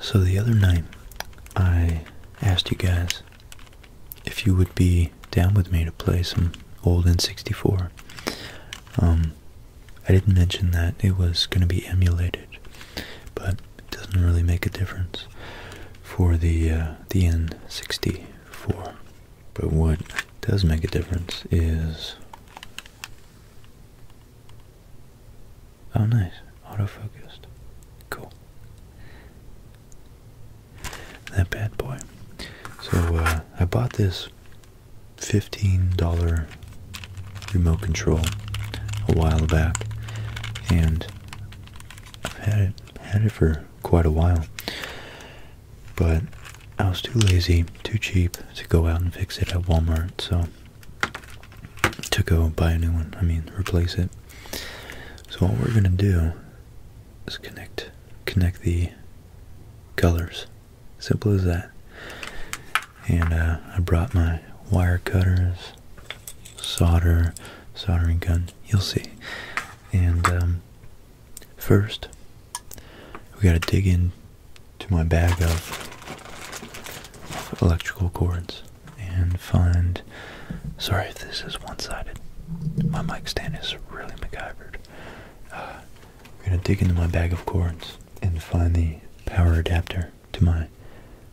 So the other night, I asked you guys if you would be down with me to play some old N64. Um, I didn't mention that it was going to be emulated, but it doesn't really make a difference for the uh, the N64. But what does make a difference is Oh nice, auto-focused. Cool. That bad boy. So uh, I bought this $15 remote control a while back, and I've had it had it for quite a while. But I was too lazy, too cheap to go out and fix it at Walmart, so to go buy a new one, I mean replace it. So what we're gonna do is connect connect the colors. Simple as that. And uh, I brought my wire cutters, solder, soldering gun, you'll see. And um, First, we got to dig into my bag of electrical cords and find. Sorry if this is one sided. My mic stand is really MacGyvered. Uh, we're going to dig into my bag of cords and find the power adapter to my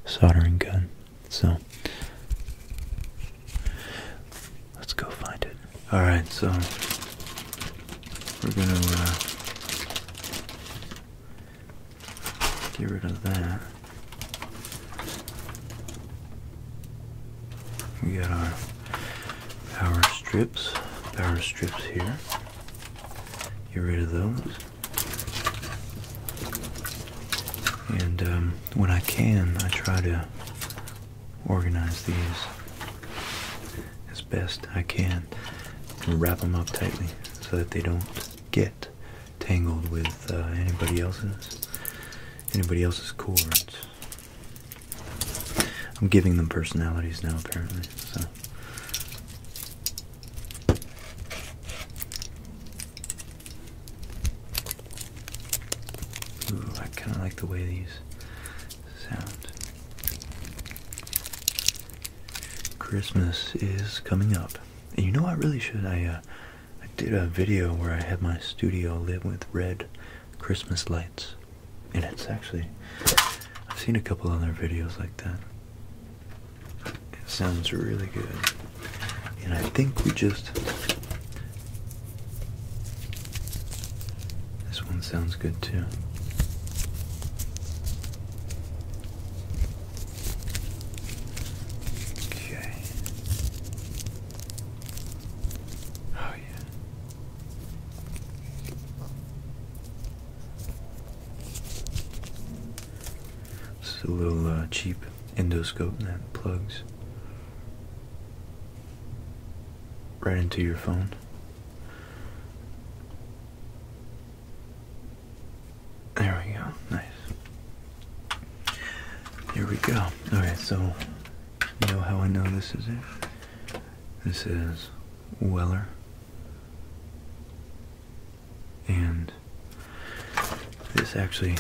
soldering gun. So, let's go find it. All right, so we're gonna uh, get rid of that. We got our power strips, power strips here. Get rid of those. And um, when I can, I try to organize these as best I can and wrap them up tightly so that they don't get tangled with uh, anybody else's anybody else's cords. I'm giving them personalities now apparently, so I kinda like the way these sound. Christmas is coming up. And you know I really should I uh, I did a video where I had my studio lit with red Christmas lights. And it's actually I've seen a couple other videos like that. It sounds really good. And I think we just this one sounds good too. Okay. Oh, yeah. It's a little uh, cheap endoscope that plugs right into your phone. There we go. Nice. Here we go. Okay, so you know how I know this is it? This is Weller. And this actually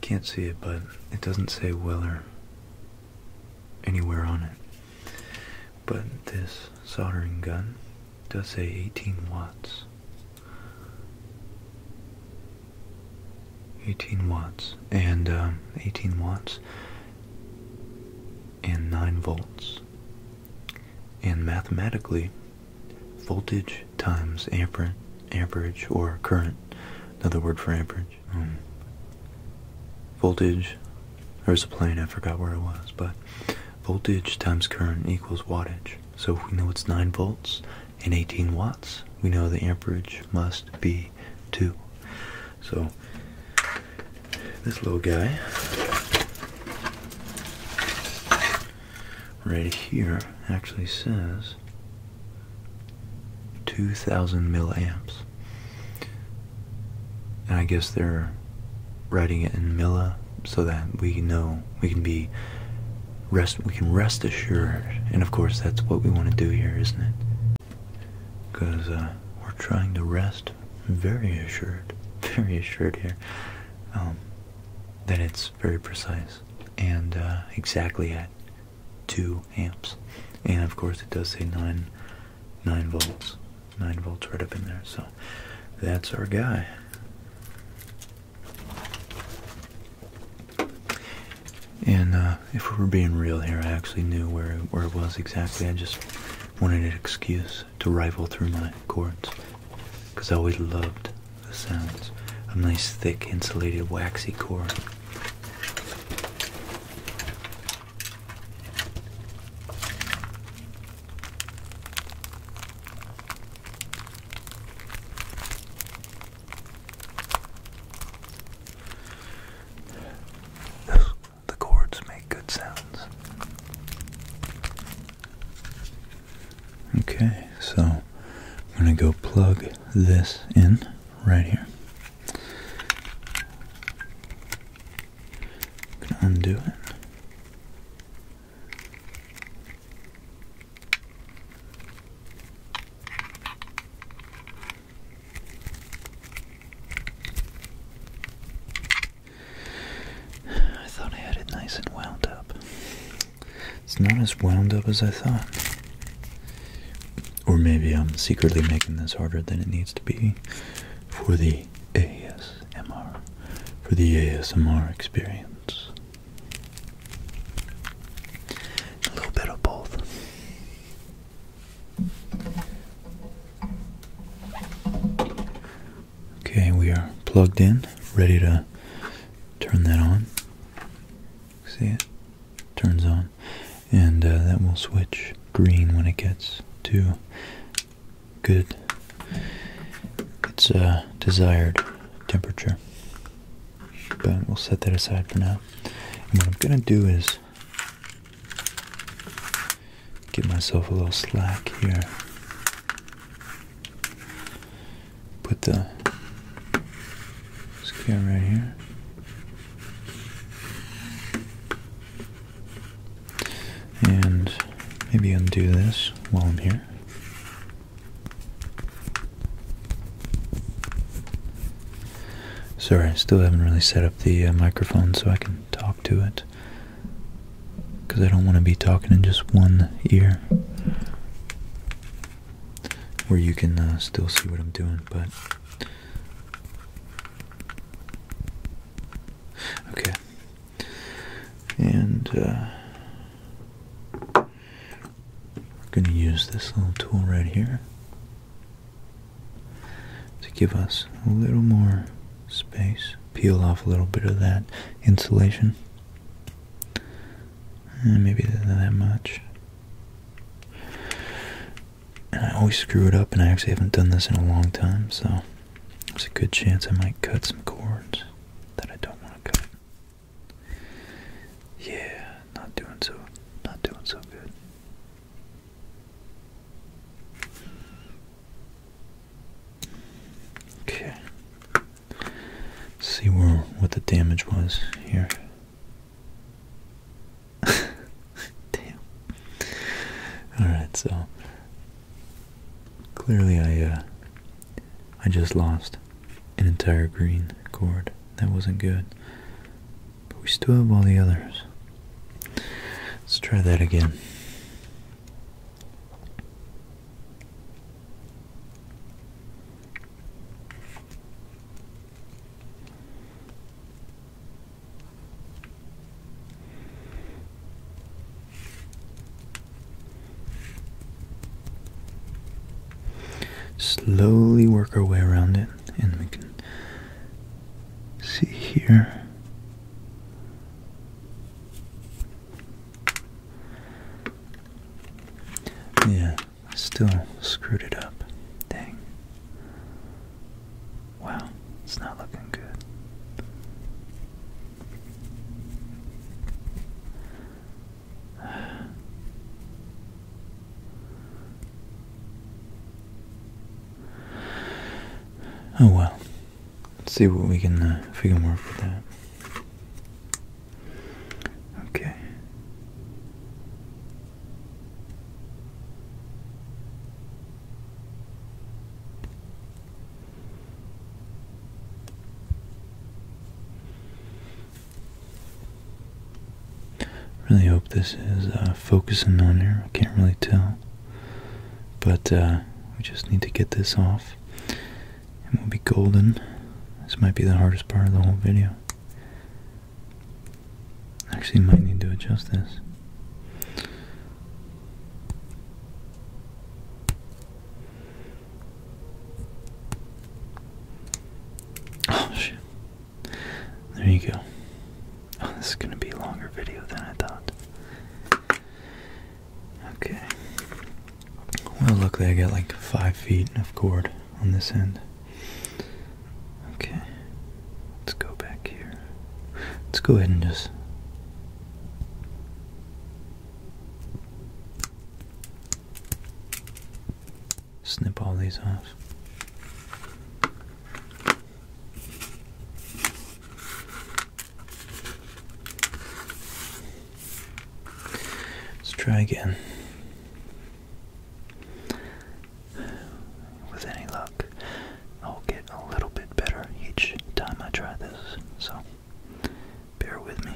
can't see it, but it doesn't say Weller anywhere on it. But this soldering gun does say 18 watts. 18 watts and um, 18 watts and 9 volts. And mathematically, voltage times amper amperage or current, another word for amperage, um, voltage there's a plane I forgot where it was but voltage times current equals wattage so if we know it's 9 volts and 18 watts we know the amperage must be 2 so this little guy right here actually says 2000 milliamps and I guess they're writing it in Mila so that we know we can be rest we can rest assured. And of course that's what we want to do here, isn't it? Because uh, we're trying to rest very assured, very assured here. Um, that it's very precise and uh, exactly at 2 amps. And of course it does say 9 9 volts. 9 volts right up in there. So that's our guy. And uh, if we were being real here, I actually knew where where it was exactly. I just wanted an excuse to rifle through my cords, because I always loved the sounds a nice, thick, insulated, waxy cord the chords make good sounds. Okay, so I'm going to go plug this in right here. I'm gonna undo it. I thought I had it nice and wound up. It's not as wound up as I thought. Or maybe I'm secretly making this harder than it needs to be for the ASMR, for the ASMR experience. A little bit of both. Okay, we are plugged in, ready to turn that on. See it? Turns on. And uh, that will switch green when it gets to good. It's a desired temperature, but we'll set that aside for now. what I'm gonna do is give myself a little slack here. Put the scale right here. And maybe undo this while I'm here. Sorry, I still haven't really set up the uh, microphone so I can talk to it. Because I don't want to be talking in just one ear. Where you can uh, still see what I'm doing, but Okay. And I'm going to use this little tool right here to give us a little more space, peel off a little bit of that insulation. Eh, maybe not that much. And I always screw it up, and I actually haven't done this in a long time, so there's a good chance I might cut some cords that I don't want to cut. Yeah, not doing so, not doing so good. Okay. See where what the damage was here. Damn. Alright, so clearly I uh, I just lost an entire green cord. That wasn't good. But we still have all the others. Let's try that again. Slowly work our way around it, and we can see here. Yeah, still screwed it up. Dang. Wow, it's not looking good. Oh well. Let's see what we can uh, if we can work with that. Okay. Really hope this is uh, focusing on here. I can't really tell, but uh, we just need to get this off, and we'll be golden. This might be the hardest part of the whole video. Actually, might need to adjust this. Oh shit. There you go. Oh, this is gonna be a longer video than I thought. Okay. Well, luckily I got like five feet of cord on this end. Okay. Let's go back here. Let's go ahead and just Snip all these off. Let's try again. With any luck. I'll get a little bit better each time I try this, so bear with me.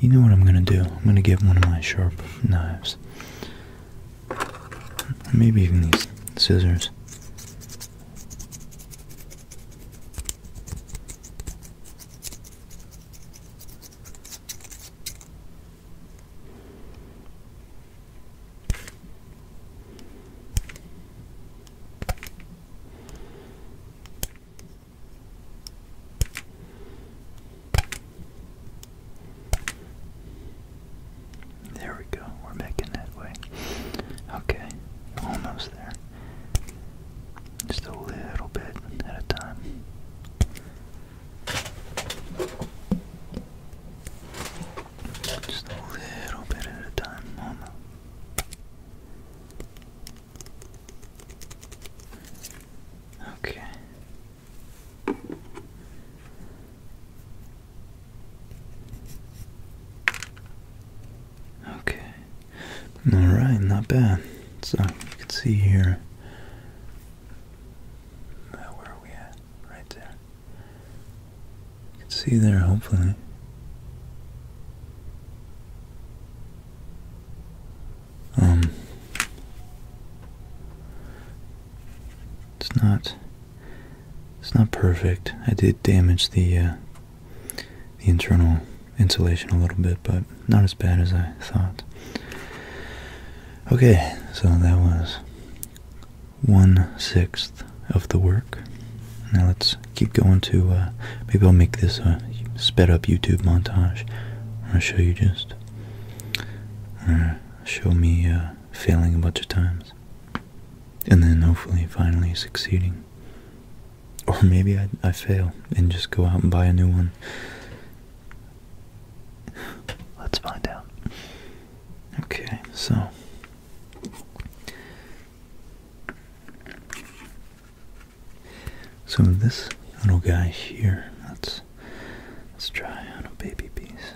You know what I'm going to do? I'm going to get one of my sharp knives. Maybe even these scissors. There we go, we're making that way. Okay, almost there. Just a little bit at a time. Just a little bit at a time, Mama. Okay. Okay. Alright, not bad. So you can see here. Uh, where are we at? Right there. You can see there, hopefully. Um, it's not. It's not perfect. I did damage the uh, the internal insulation a little bit, but not as bad as I thought. Okay, so that was one sixth of the work. Now let's keep going to, uh, maybe I'll make this a sped up YouTube montage. i will show you just, uh, show me uh, failing a bunch of times. And then hopefully finally succeeding. Or maybe I, I fail and just go out and buy a new one. Let's find out. Okay, so so this little guy here, let's let's try on a baby piece.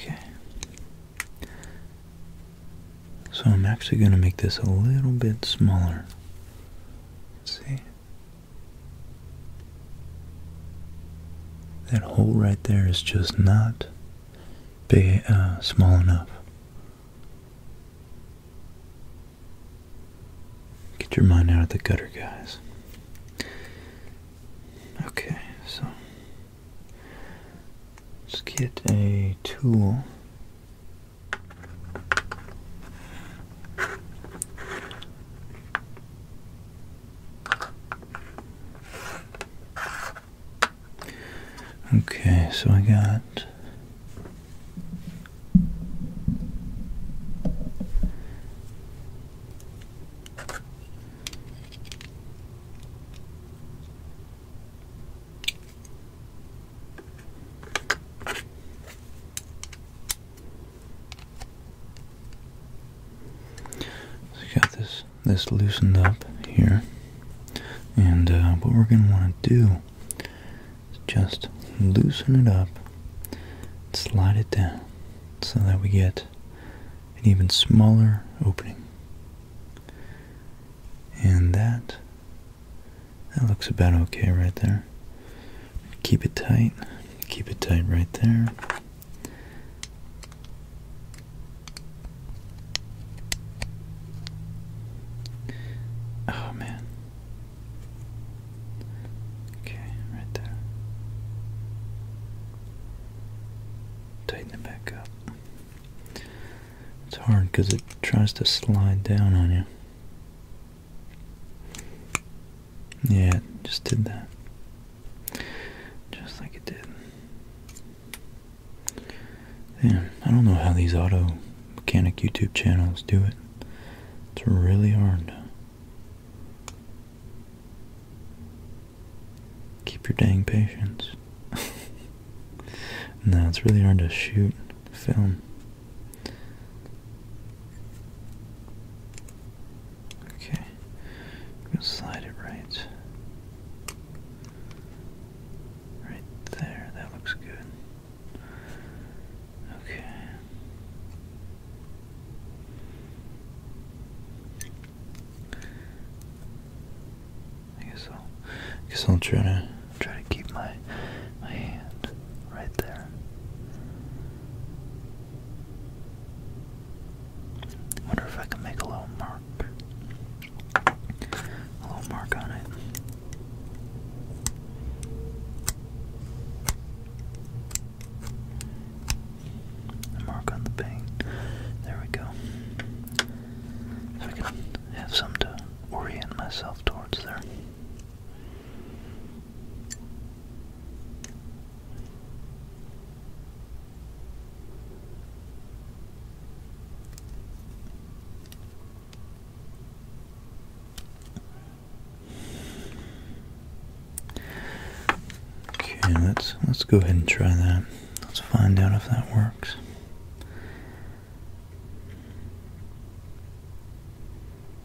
Okay. So I'm actually going to make this a little bit smaller. see. That hole right there is just not big, uh, small enough. Get your mind out of the gutter, guys. Okay, so let's get a tool Okay, so I got so you got this this loosened up here, and uh, what we're gonna want to do is just loosen it up, slide it down, so that we get an even smaller opening, and that that looks about okay right there. Keep it tight. Keep it tight right there. Oh man. Okay, right there. Tighten it back up. It's hard because it tries to slide down on you. Yeah, just did that. Just like it did. Damn, I don't know how these auto mechanic YouTube channels do it. It's really hard. Keep your dang patience. no, it's really hard to shoot, film, Okay, I'm gonna slide it right, right there. That looks good. Okay. I guess I'll, I guess I'll try to try to keep my my hand right there. wonder if I can make a little mark. A little mark on it. A mark on the paint. There we go. If I can have some to orient myself towards there. Okay, let's let's go ahead and try that. Let's find out if that works.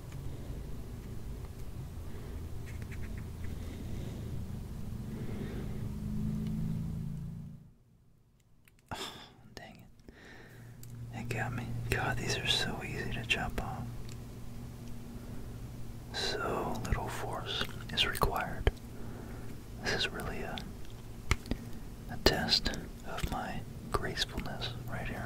dang it. It got me. God, these are so easy to jump off. So little force is required. This is really a, a test of my gracefulness right here.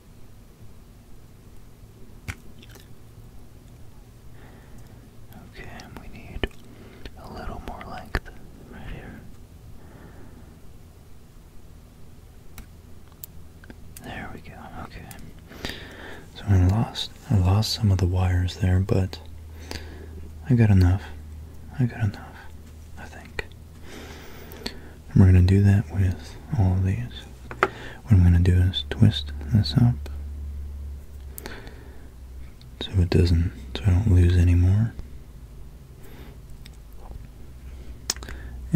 Okay, we need a little more length right here. There we go. Okay. So I lost I lost some of the wires there, but I got enough. I got enough, I think we're going to do that with all of these. What I'm going to do is twist this up so it doesn't, so I don't lose any more.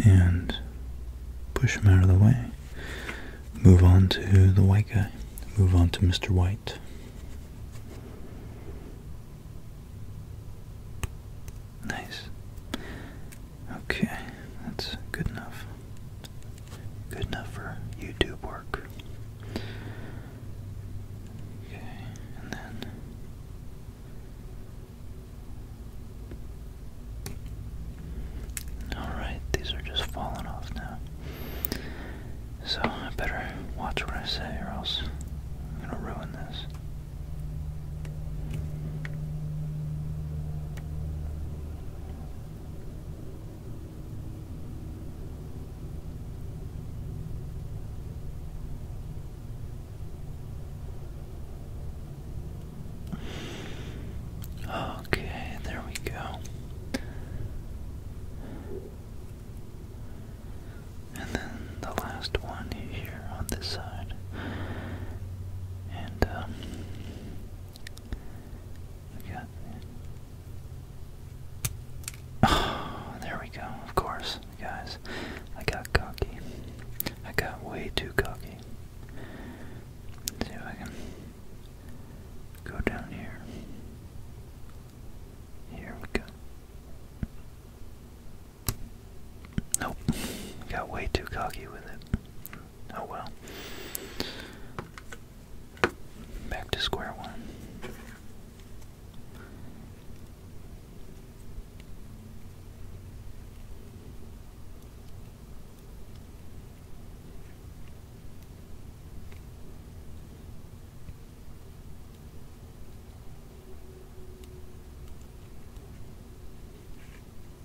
And push him out of the way. Move on to the white guy. Move on to Mr. White. Nice. Okay, that's good enough. Good enough for YouTube work. Okay, and then. Alright, these are just falling off now. So I better watch what I say, or else I'm gonna ruin this. Okay, there we go. And then the last one here on this side. And um, there we go. Of course, guys. I got cocky. I got way too cocky. see if I can go down here. Here we go. Nope. Got way too cocky with it oh well. Back to square one.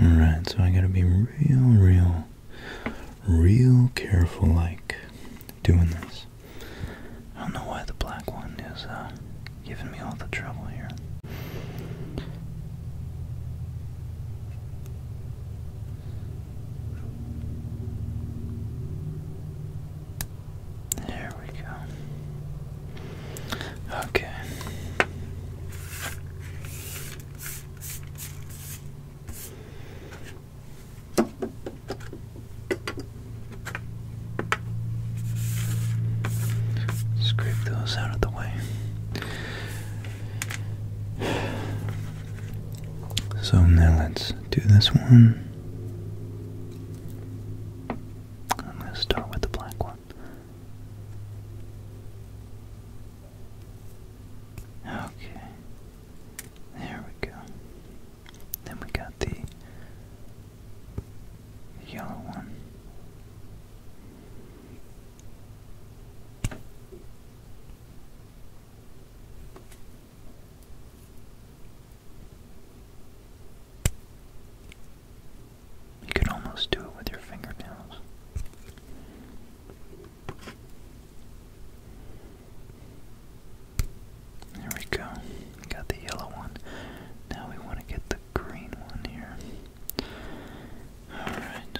Alright, so I gotta be real, real, real careful like doing this. I don't know why the black one is uh, giving me all the trouble here. There we go. Okay. Scrape those out of the way. So now let's do this one. I'm going to start with the black one. Okay. There we go. Then we got the yellow one. You could almost do it with your fingernails. There we go. Got the yellow one. Now we want to get the green one here. Alright.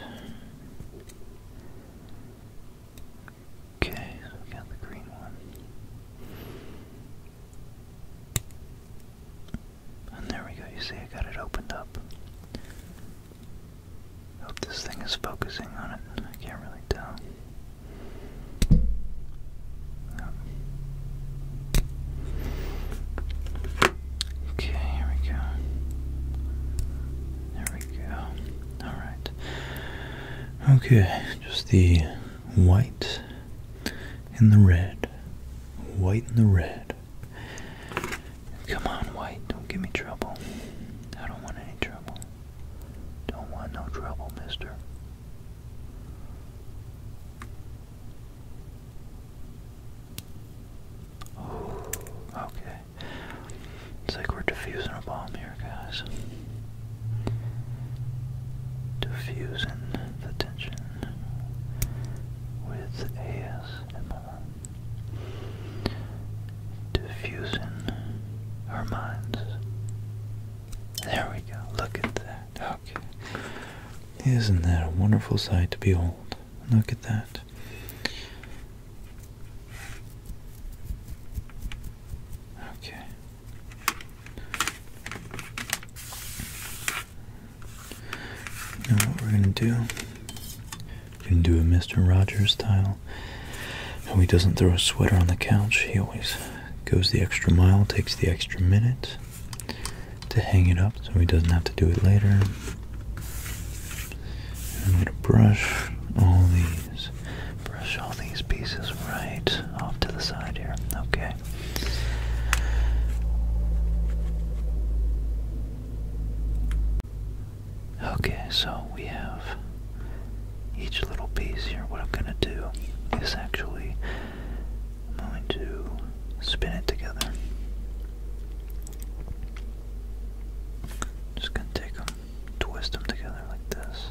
Okay, we got the green one. And there we go, you see I got it opened up. Hope this thing is focusing on it. I can't really tell. Okay, here we go. There we go. Alright. Okay, just the white and the red. White and the red. Come on, white, don't give me trouble. I don't want any trouble. Don't want no trouble, mister. okay. It's like we're defusing a bomb here, guys. Defusing the tension with ASMR. Diffusing our minds. There we go. Look at that. Okay. Isn't that a wonderful sight to behold? Look at that. Okay. Now what we're gonna do, we're gonna do a Mr. Rogers style. How he doesn't throw a sweater on the couch. He always goes the extra mile, takes the extra minute to hang it up so he doesn't have to do it later. I'm gonna brush all these brush all these pieces right off to the side here. Okay. Okay, so we have each little piece here. What I'm going to do is actually, going to spin it together. Just going to take them twist them together like this,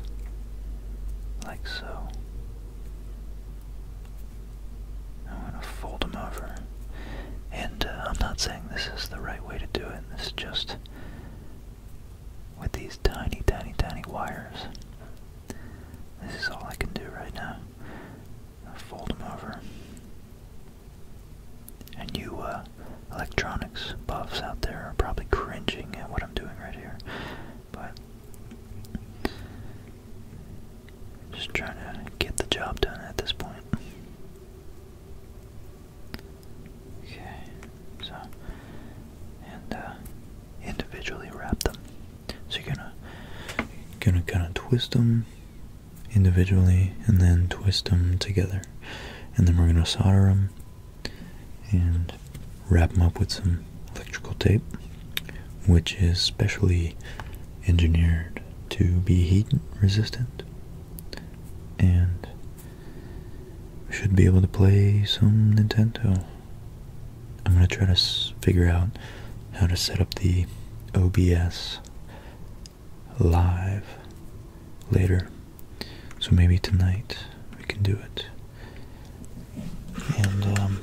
like so. I'm going to fold them over. And uh, I'm not saying this is the right way to do it, this is just with these tiny, tiny, tiny wires. This is all I can do right now. i fold them over. And you, uh, electronics buffs out there are probably cringing at what I'm doing right here. But just trying to get the job done at this point. Okay, so and uh, individually wrap them. So you're gonna gonna kind of twist them individually and then twist them together, and then we're gonna solder them and wrap them up with some electrical tape, which is specially engineered to be heat resistant and should be able to play some Nintendo. I'm going to try to figure out how to set up the OBS live later. So maybe tonight we can do it. And um,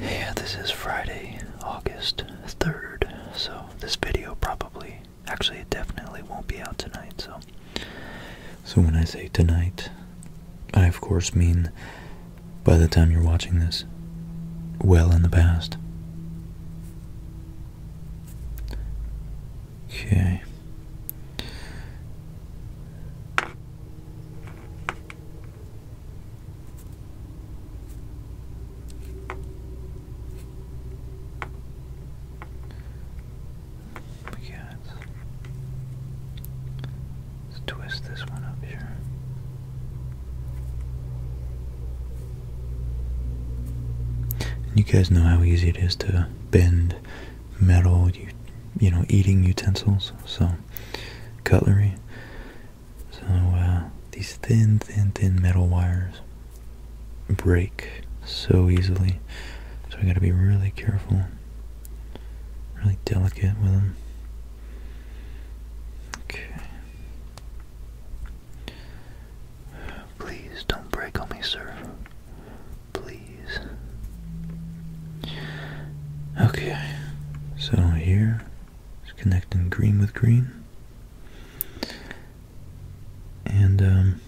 yeah, this is Friday, August 3rd. So this video probably actually definitely won't be out tonight, so so when I say tonight, I of course mean by the time you're watching this, well in the past. Okay. We got let's twist this one up here you guys know how easy it is to bend metal, you, you know, eating utensils, so cutlery. So uh, these thin, thin, thin metal wires break so easily. So I got to be really careful, really delicate with them. Okay. Please don't break on me, sir. Please. Okay, so here it's connecting green with green. And, um,.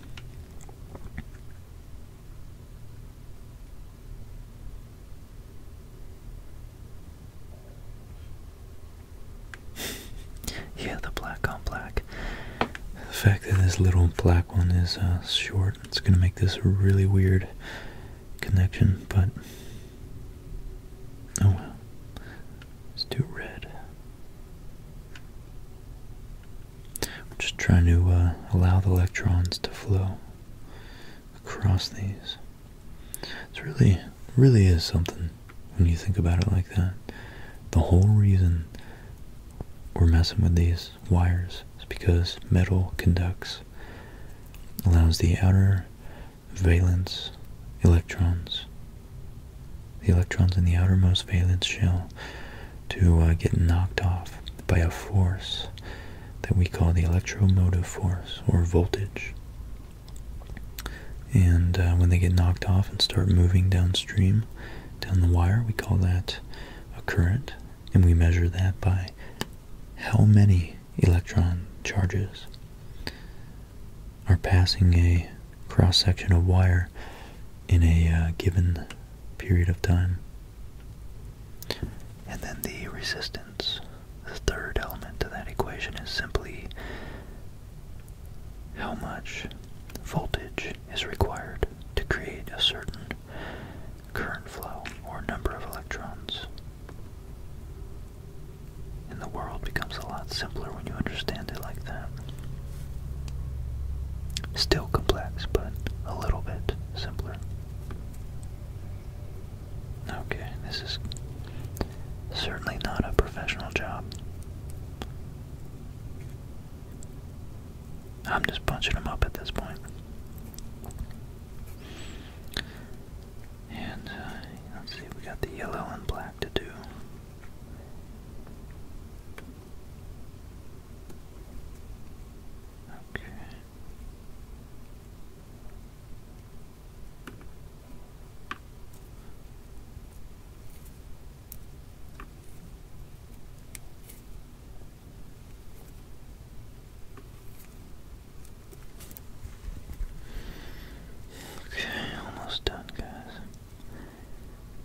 yeah, the black on black. The fact that this little black one is uh, short, it's gonna make this a really weird connection, but oh well. let red. just trying to uh, allow the electrons to flow across these. It's really, really is something when you think about it like that. The whole reason we're messing with these wires is because metal conducts, allows the outer valence electrons, the electrons in the outermost valence shell, to uh, get knocked off by a force that we call the electromotive force or voltage. And uh, when they get knocked off and start moving downstream, down the wire, we call that a current. And we measure that by how many electron charges are passing a cross section of wire in a uh, given period of time. And then the resistance, the third element to that equation, is simply how much voltage is required to create a certain current flow or number of electrons. And the world becomes a lot simpler when you understand it like that. Still complex, but a little bit simpler. Okay, this is certainly not a professional job. I'm just punching them up at this point. And uh, let's see, we got the yellow and black to do. Okay. Okay, almost done, guys.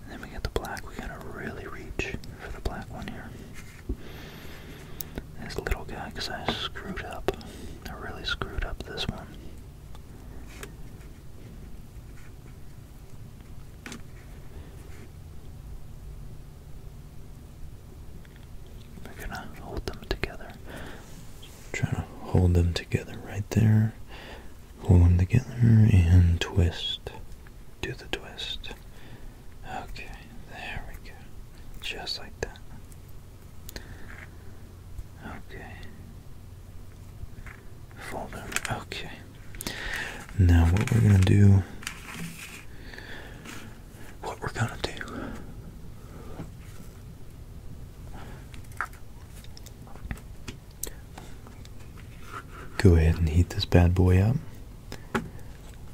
then we got the black. We gotta really reach for the black one here. This little guy, because I screwed up. I really screwed up this one. We're gonna hold them together. Trying to hold them together right there. Hold them together and twist. Do the twist. Okay, there we go. Just like that. Okay. Okay. Now what we're gonna do what we're gonna do Go ahead and heat this bad boy up.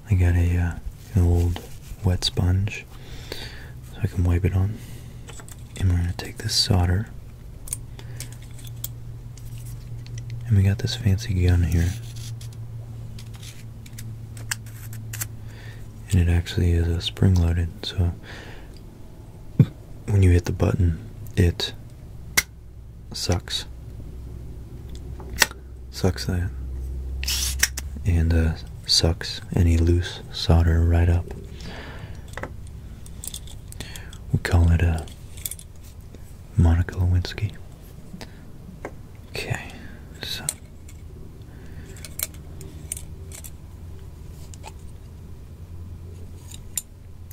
I got a uh, an old wet sponge so I can wipe it on. And we're gonna take this solder and we got this fancy gun here. And it actually is a spring loaded, so when you hit the button, it sucks. Sucks that. And uh, sucks any loose solder right up. We call it a Monica Lewinsky. Okay, so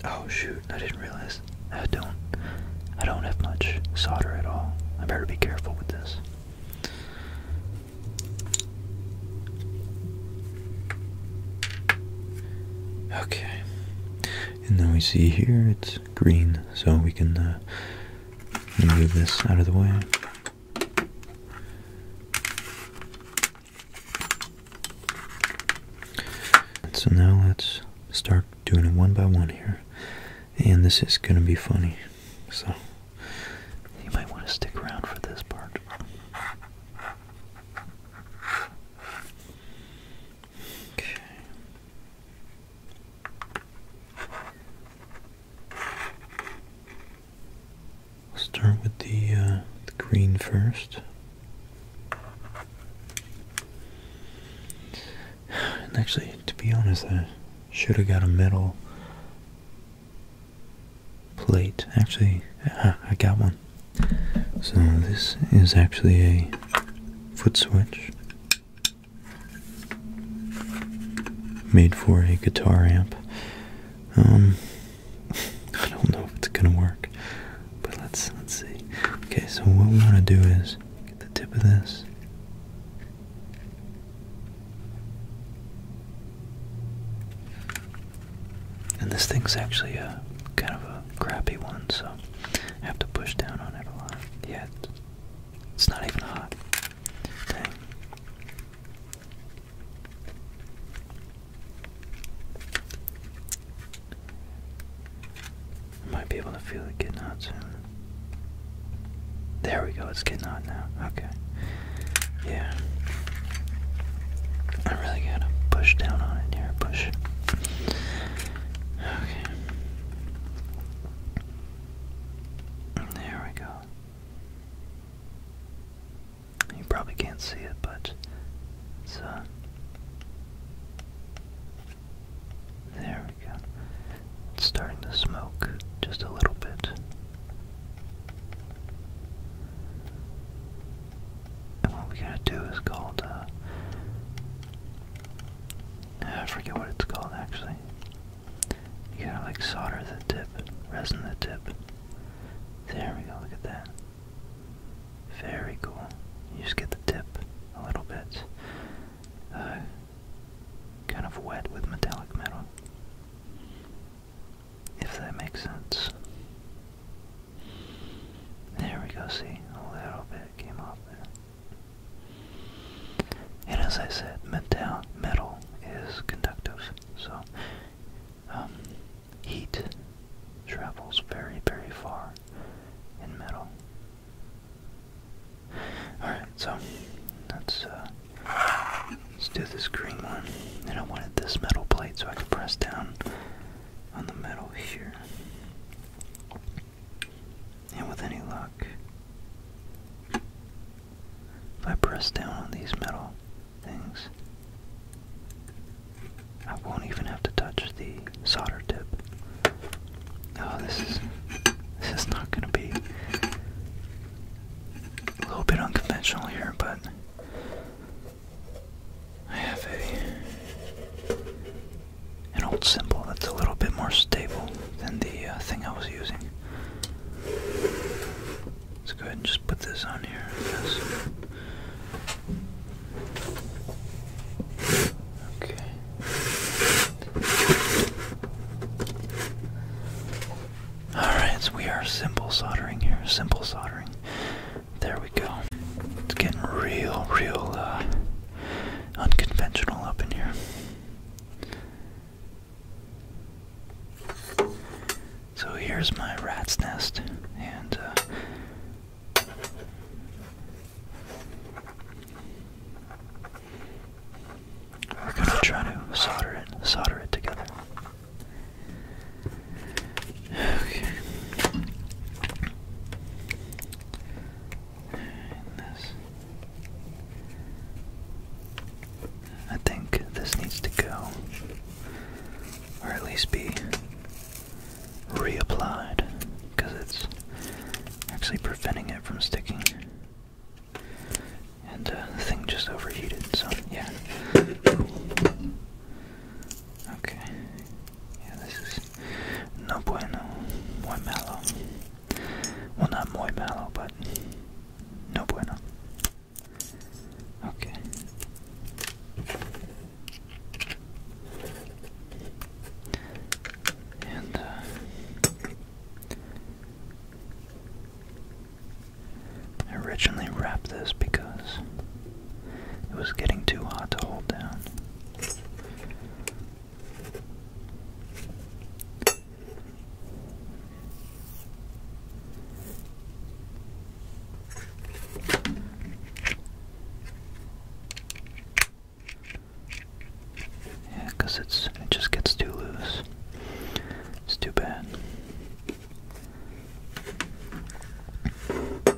Oh shoot, I didn't realize. I don't I don't have much solder at all. I better be careful with this. Okay. And then we see here it's green, so we can uh, move this out of the way. So now let's start doing it one by one here. And this is going to be funny. So you might want to stick around for this part. Okay. We'll start with the, uh, the green first. And actually, to be honest, I should have got a metal plate. Actually, uh, I got one. So this is actually a foot switch made for a guitar amp. Um, I don't know if it's gonna work, but let's let's see. Okay, so what we want to do is get the tip of this. And this thing's actually a kind of a crappy one, so I have to push down on it a lot. Yeah, it's, not even hot. Dang. might be able to feel it getting hot soon. There we go, it's getting hot now. Okay. Yeah. I really gotta push down on it here. Push. Okay. There we go. You probably can't see it, but it's uh. There we go. It's starting to smoke just a little bit. And what we're gonna do is called, uh, I forget what it's called actually. You gotta like solder the tip, resin the tip. There we go, look at that. Very cool. You just get the tip a little bit uh, kind of wet with metallic metal. If that makes sense. There we go, see? A little bit came off there. And as I said, metal, metal is conductive, so um, heat travels very, very far in metal. Alright, so let's, uh, let's do this green one. And I wanted this metal plate so I can press down on the metal here. And with any luck, if I press down on these metal things, I won't even have to touch the solder tip. Oh, this is this is not going to be a little bit unconventional here, but I have a an old symbol that's a little bit more stable than the uh, thing I was using. Let's go ahead and just put this on here, I guess. Okay. Alright, so we are simple soldering here. Simple soldering. There we go. It's getting real, real uh, unconventional up in here. So here's my rat's nest, and uh, we're gonna try to solder it, solder it together. Okay. this. I think this needs to go, or at least be reapplied, because it's actually preventing it from sticking. And uh, the thing just overheated, so yeah. Okay. Yeah, this is no bueno, muy mellow. Well, not muy malo, but no bueno. Okay. And, uh, I originally wrapped this because it was getting too hot to hold down. Yeah, it's it just gets too loose. It's too bad.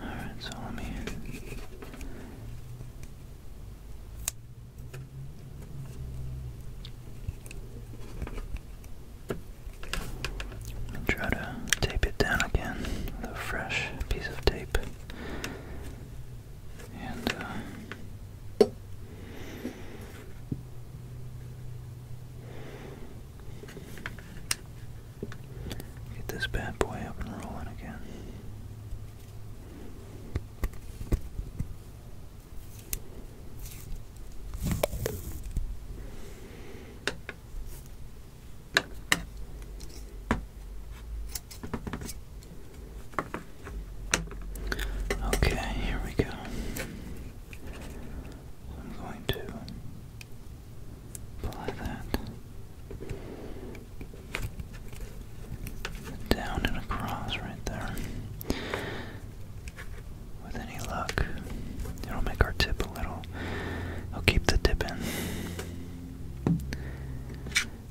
Alright, so let me. Try to tape it down again a fresh piece of tape. And, uh, Get this bad boy up and rolling again. Okay, here we go. I'm going to like that. Down and across right there. With any luck, it'll make our tip a little. I'll keep the dip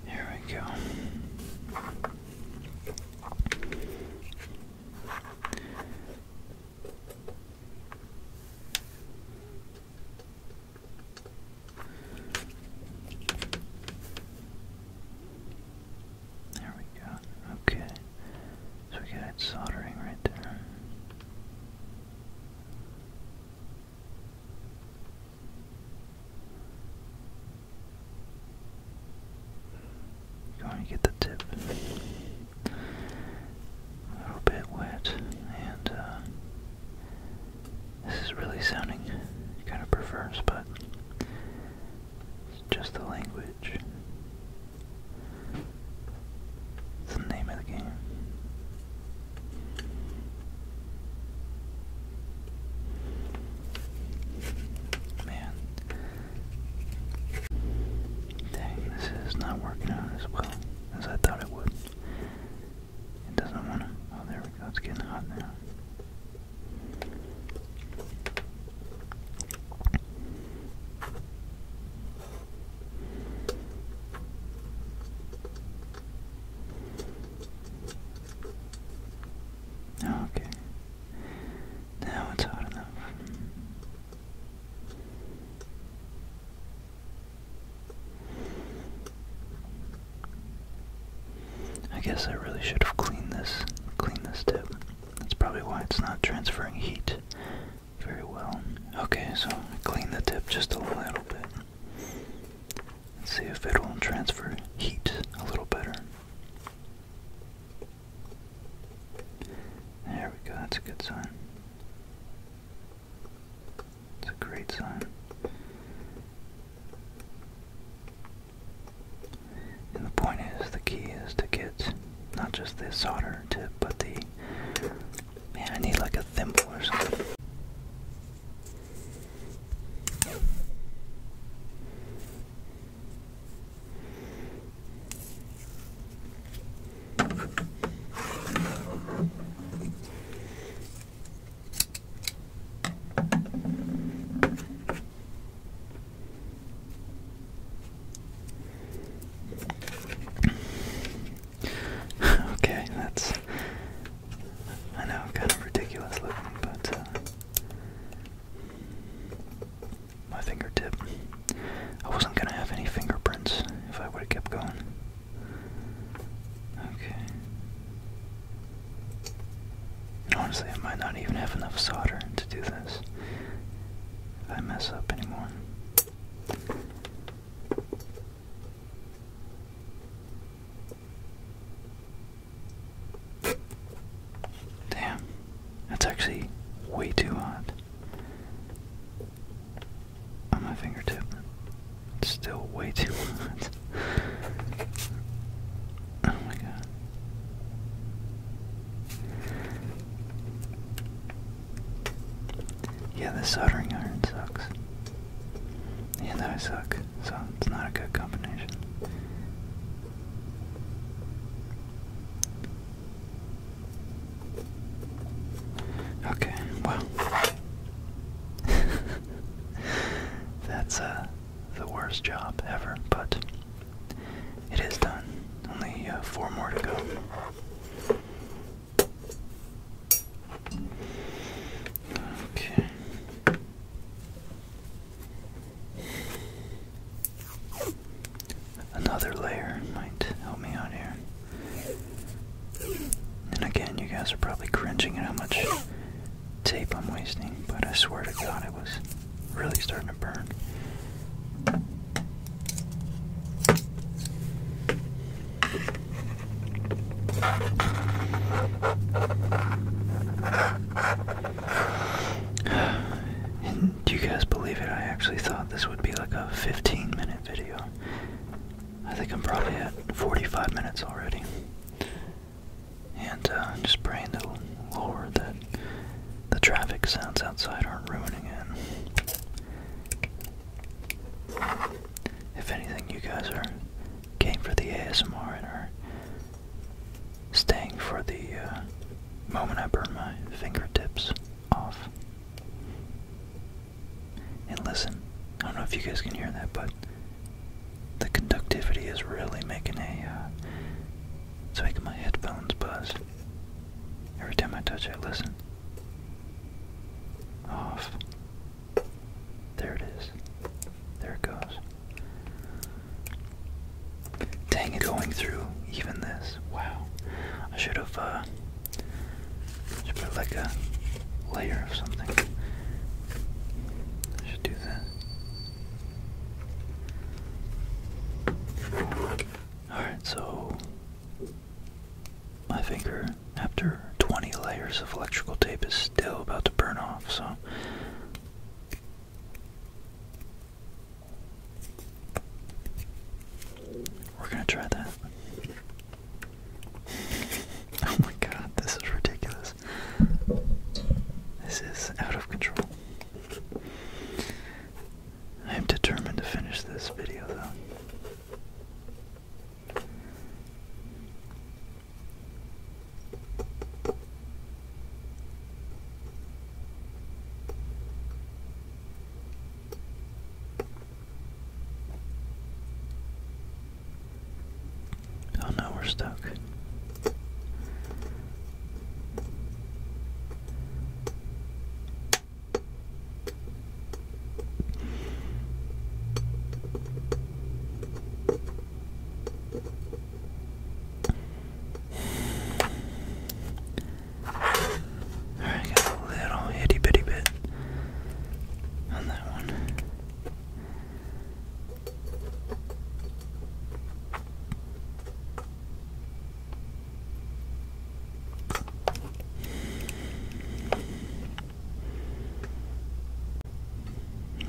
Here we go. There we go. Okay. So we got it soldering right there. Going to get the tip a little bit wet, and uh, this is really sounding kind of perverse, but it's just the language. It's the name of the game. Man this is not working out as well as I thought it would. It doesn't want to. Oh, there we go. It's getting hot now. Okay. Now it's hot enough. I guess I really should have cleaned this cleaned this tip. That's probably why it's not transferring heat very well. Okay, so I clean the tip just a little bit. let see if it will transfer heat a little better. There we go, that's a good sign. It's a great sign. And the point is, the key is to get not just the solder tip, but the. Man, I need like a thimble or something okay, that's I know kind of ridiculous looking, but uh, my fingertip. I wasn't gonna have any fingerprints if I would have kept going. Okay. Honestly, I might not even have enough solder to do this. If I mess up anymore. Damn, that's actually way too hot on my fingertip. still way too hot. oh my god. Yeah, the soldering iron sucks. Yeah, I suck, so it's not a good combination. Okay, well. That's uh, the worst job ever, but it is done. Only uh, four more to go. Okay another layer might help me out here. And again, you guys are probably cringing at how much tape I'm wasting, but I swear to God, it was really starting to burn. do you guys believe it? I actually thought this would be like a 15 minute video. I think I'm probably at 45 minutes already. And uh, just praying that Lord that the traffic sounds outside aren't ruining it. If anything, you guys are game for the ASMR and are staying for the uh, moment I burn my fingertips off. And listen, I don't know if you guys can hear that, but the conductivity is really making a, uh, my headphones buzz. Every time I touch it, listen. Off. There it is. There it goes. Dang it, going through even this. Wow. I should have, uh, should put like a layer of something. I should do that. Alright, so my finger, after 20 layers of electrical tape, is still about to burn off, so. We're going to try that. oh my god, this is ridiculous. This is out of control. I am determined to finish this video though. Oh no, we're stuck. I got a little itty bitty bit on that one.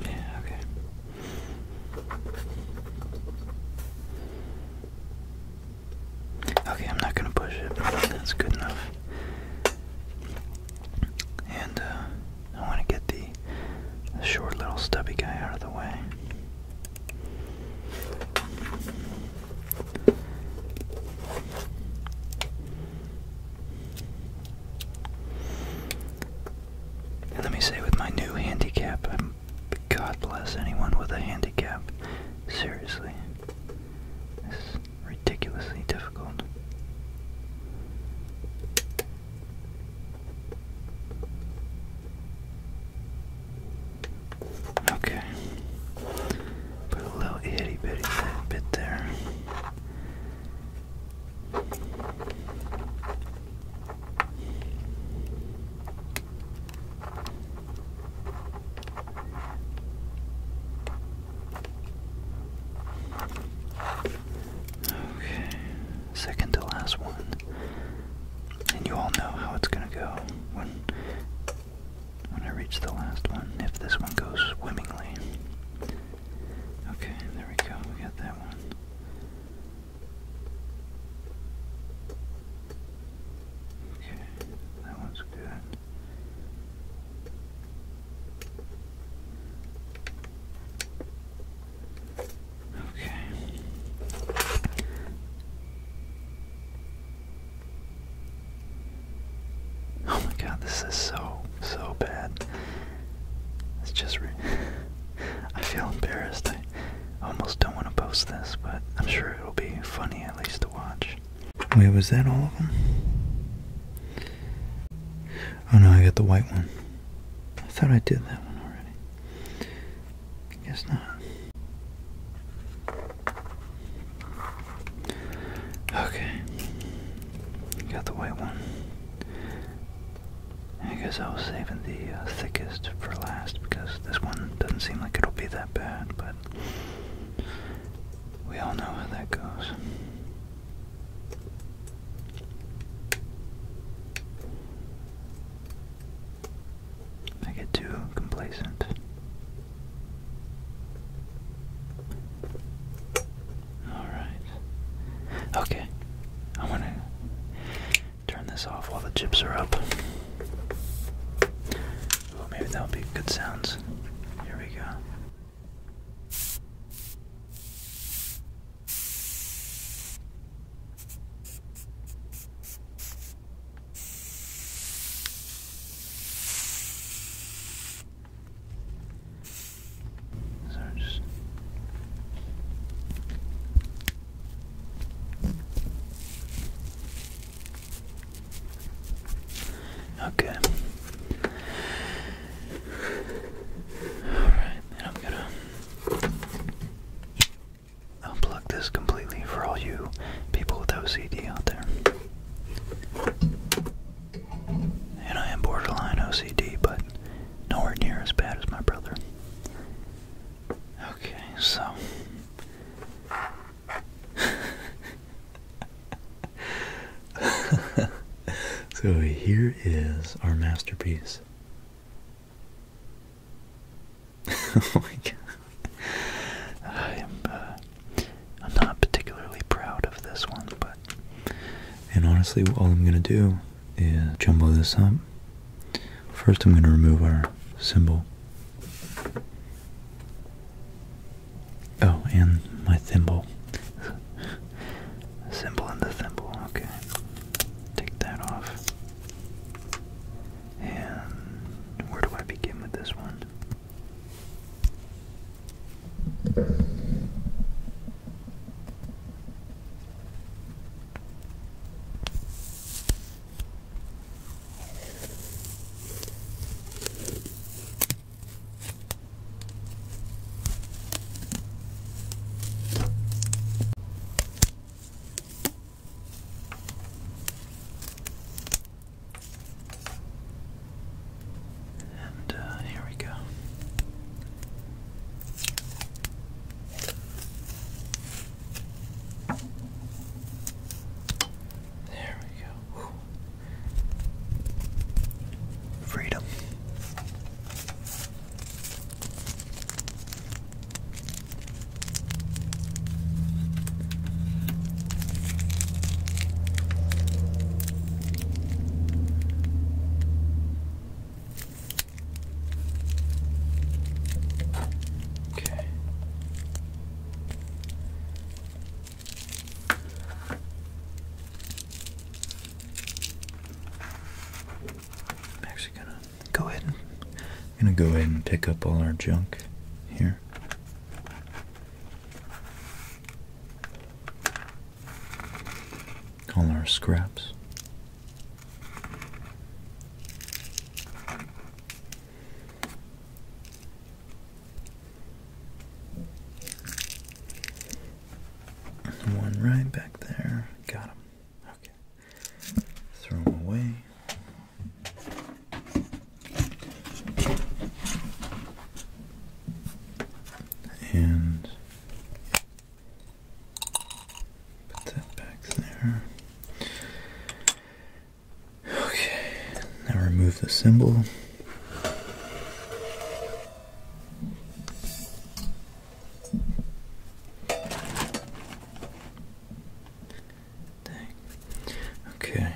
Yeah, okay. Okay, I'm not gonna push it. That's good enough. And uh, I want to get the, short little stubby guy out of the way. And let me say, with my new handicap, I'm, God bless anyone with a handicap. Seriously, ridiculously difficult. Okay. Put a little itty bitty bit there. Okay, second to last one. And you all know how it's gonna go when when I reach the last one, if this one goes swimmingly. Okay, there we go, we got that one. Okay, that one's good. Okay. Oh my god, this is so, so bad. It's just. Re I feel embarrassed. I almost don't want to post this, but I'm sure it'll be funny at least to watch. Wait, was that all of them? Oh no, I got the white one. I thought I did that one already. I guess not. Okay. Got the white one. I guess I was saving the uh, thickest for last because this one doesn't seem like it'll be that bad, but we all know how that goes. I get too complacent. Alright. Okay. I want to turn this off while the chips are up. Ooh, maybe that'll be good sounds. Here we go. So just Okay. Alright, I'm gonna unplug this completely for all you people with OCD out there. And I am borderline OCD, but nowhere near as bad as my brother. Okay, so. so here is our masterpiece. oh my god. I am uh, I'm not particularly proud of this one, but and honestly all I'm gonna do is jumble this up. First I'm gonna remove our symbol. Oh, and my thimble. Symbol and the thimble, okay. Take that off. And where do I begin with this one? And uh, here we go. There we go freedom. Okay. I'm actually gonna go ahead and gonna go ahead and pick up all our junk here. All our scraps. One right back there. Got him. Okay. Throw him away. And put that back there. Okay. Now remove the symbol. Okay.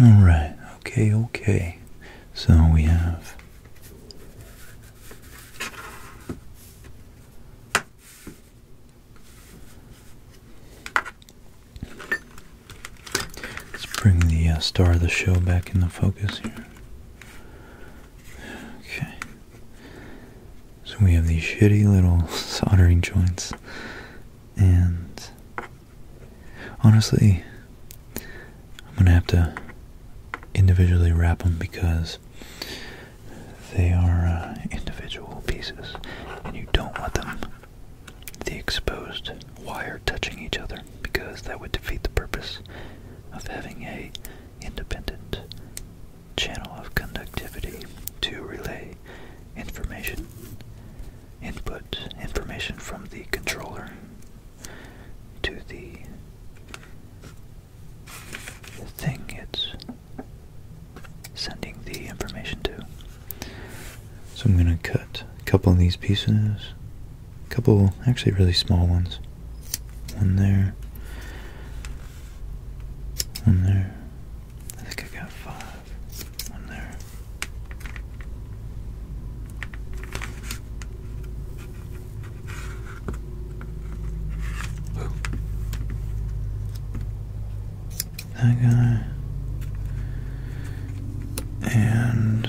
All right. Okay. Okay. So we have Let's bring the uh, star of the show back in the focus here. Okay. So we have these shitty little soldering joints. And honestly, I'm going to have to individually wrap them because they are uh, individual pieces and you don't want them the exposed wire touching each other because that would defeat the purpose of having a independent channel of conductivity to relay information input information from the controller to the thing it's sending the information to. So I'm going to cut a couple of these pieces, a couple actually really small ones. One there, one there. I think I got five. One there that guy. And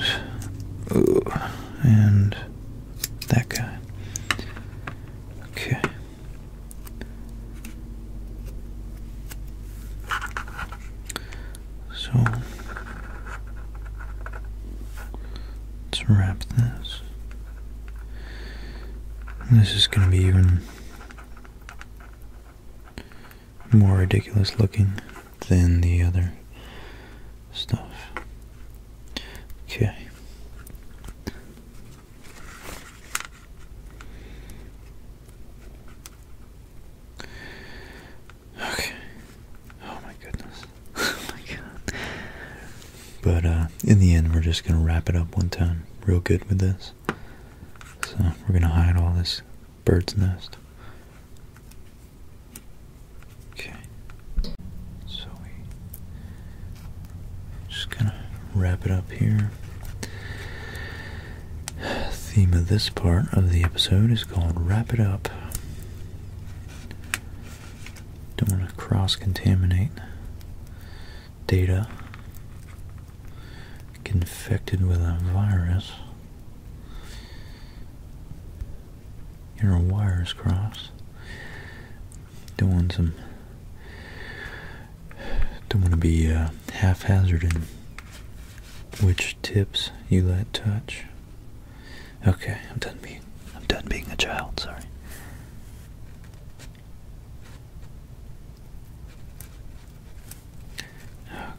and that guy. Okay. So let's wrap this. This is going to be even more ridiculous looking than the other stuff. Okay. Okay. Oh my goodness. oh my god. But uh, in the end we're just gonna wrap it up one time real good with this. So we're going to hide all this bird's nest. Okay. So we just kind of wrap it up here. Theme of this part of the episode is called Wrap It Up. Don't want to cross contaminate data infected with a virus your wires crossed doing some don't want to be uh, haphazard in which tips you let touch okay i'm done being i'm done being a child sorry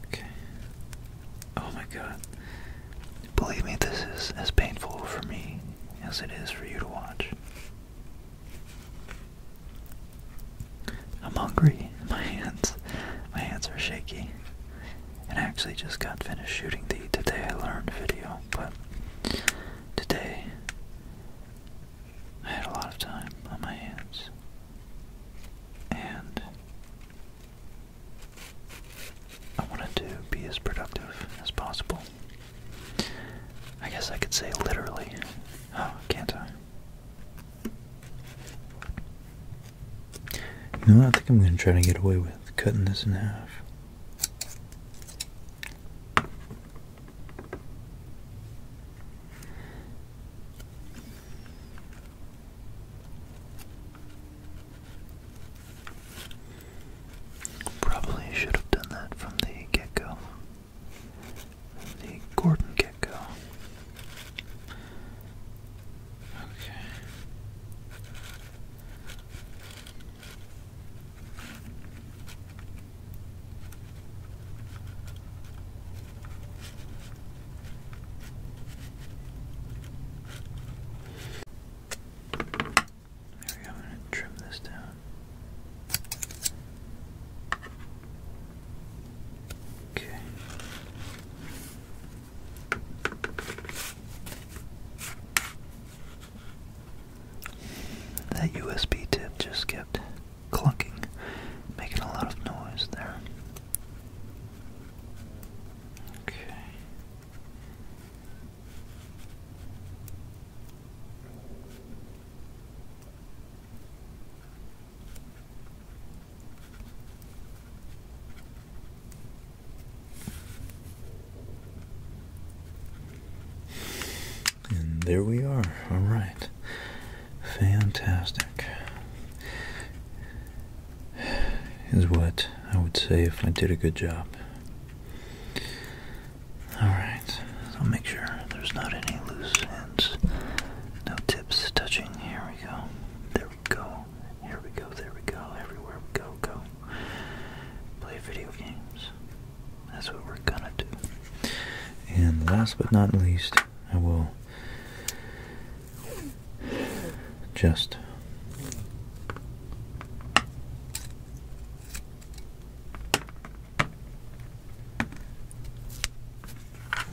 Okay. Oh my god. Believe me, this is as painful for me as it is for you to watch. I'm hungry. My hands, my hands are shaky. And I actually just got finished shooting the Today I Learned video, but today I had a lot of time on my hands. And I wanted to be as productive as possible. I guess I could say literally. Oh, can't I? You know, I think I'm going to try to get away with cutting this in half. Probably should have done that from the get go. The Gordon get go. Okay. There we go, I'm going to trim this down. Okay. That USB tip just kept clunking, making a lot of noise there. Okay. And there we are. All right. Fantastic is what I would say if I did a good job. Alright, I'll make sure there's not any loose ends, no tips touching. Here we go. There we go. Here we go. There we go. Everywhere we go, go. Play video games. That's what we're gonna do. And last but not least, I will just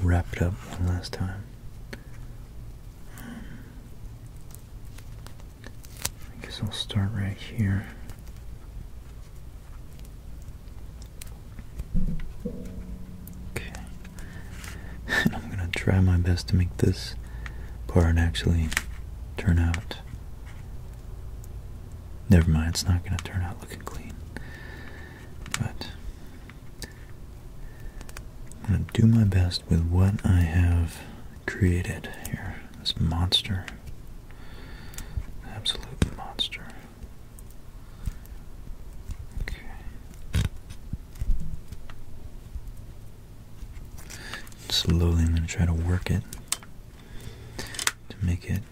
wrap it up one last time. I guess I'll start right here. Okay. I'm gonna try my best to make this part actually turn out. Never mind, it's not gonna turn out looking clean. But I'm gonna do my best with what I have created here. This monster. Absolute monster. Okay. Slowly, I'm going to try to work it to make it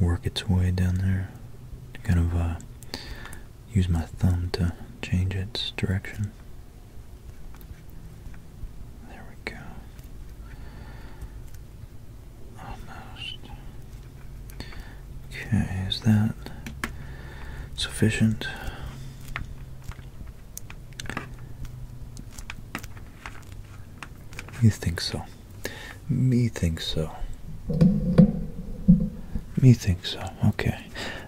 work its way down there. To kind of uh, use my thumb to change its direction. There we go. Okay, is that sufficient? You think so. Me think so. Me think so. Okay.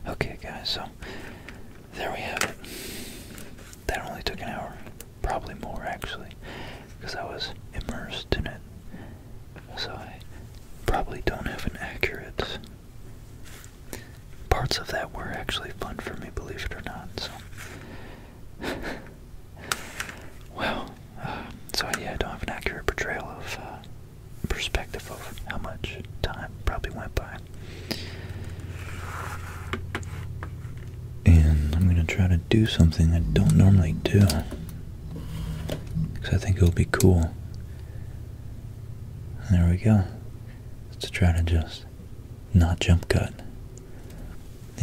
Okay, guys, so there we have it. That only took an hour. Probably more actually, because I was immersed in it. So I probably don't have an accurate. Parts of that were actually fun for me, believe it or not. So, well, uh, so yeah, I don't have an accurate portrayal of uh, perspective of how much time probably went by. And I'm going to try to do something I don't normally do. Because I think it'll be cool. there we go. Let's try to just not jump cut.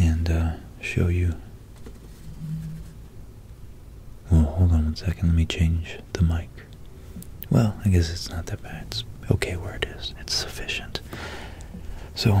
And uh, show you. Well, hold on one second. Let me change the mic. Well, I guess it's not that bad. It's okay where it is. It's sufficient. So,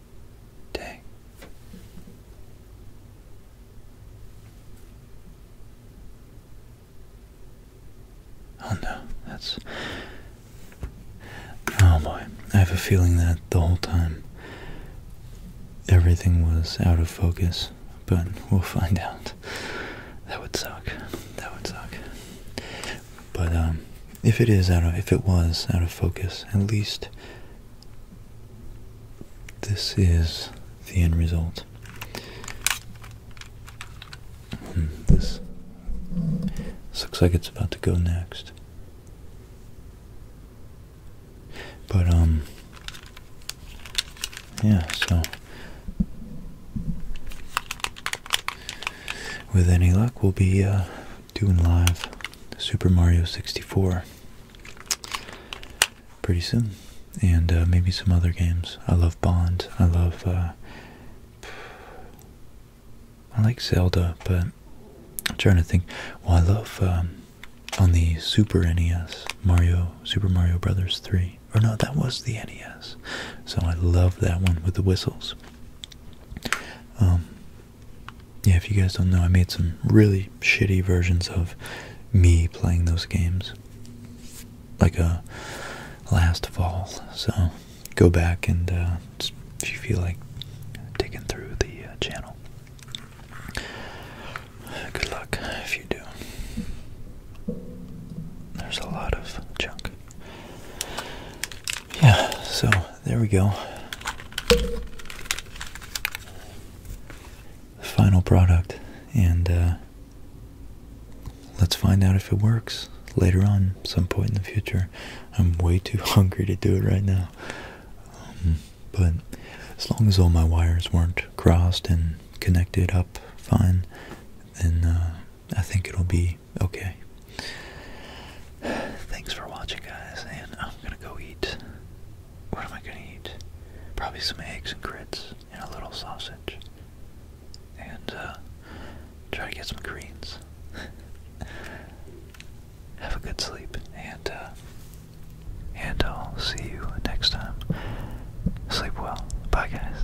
day. Oh no, that's. Oh boy, I have a feeling that the whole time everything was out of focus, but we'll find out. That would suck. That would suck. But, um, if it is out of if it was out of focus, at least this is the end result. Hmm, this, looks like it's about to go next. But um yeah, so with any luck we'll be uh, doing live Super Mario 64 pretty soon, and uh, maybe some other games. I love Bond. I love. Uh, I like Zelda, but I'm trying to think. Well, I love um, on the Super NES Mario Super Mario Brothers 3. Or no, that was the NES. So I love that one with the whistles. Um, yeah, if you guys don't know, I made some really shitty versions of me playing those games like a last fall. So go back and uh, if you feel like digging through the uh, channel. Good luck if you do. There's a lot of junk. Yeah, so there we go. The final product, and uh, let's find out if it works later on, some point in the future. I'm way too hungry to do it right now. Um, but as long as all my wires weren't crossed and connected up fine, then uh, I think it'll be okay. Thanks for watching, guys, and I'm gonna go eat. What am I gonna eat? Probably some eggs and grits and a little sausage. And, uh, try to get some greens. Have a good sleep, and, uh, and I'll see you next time. Sleep well. Bye, guys.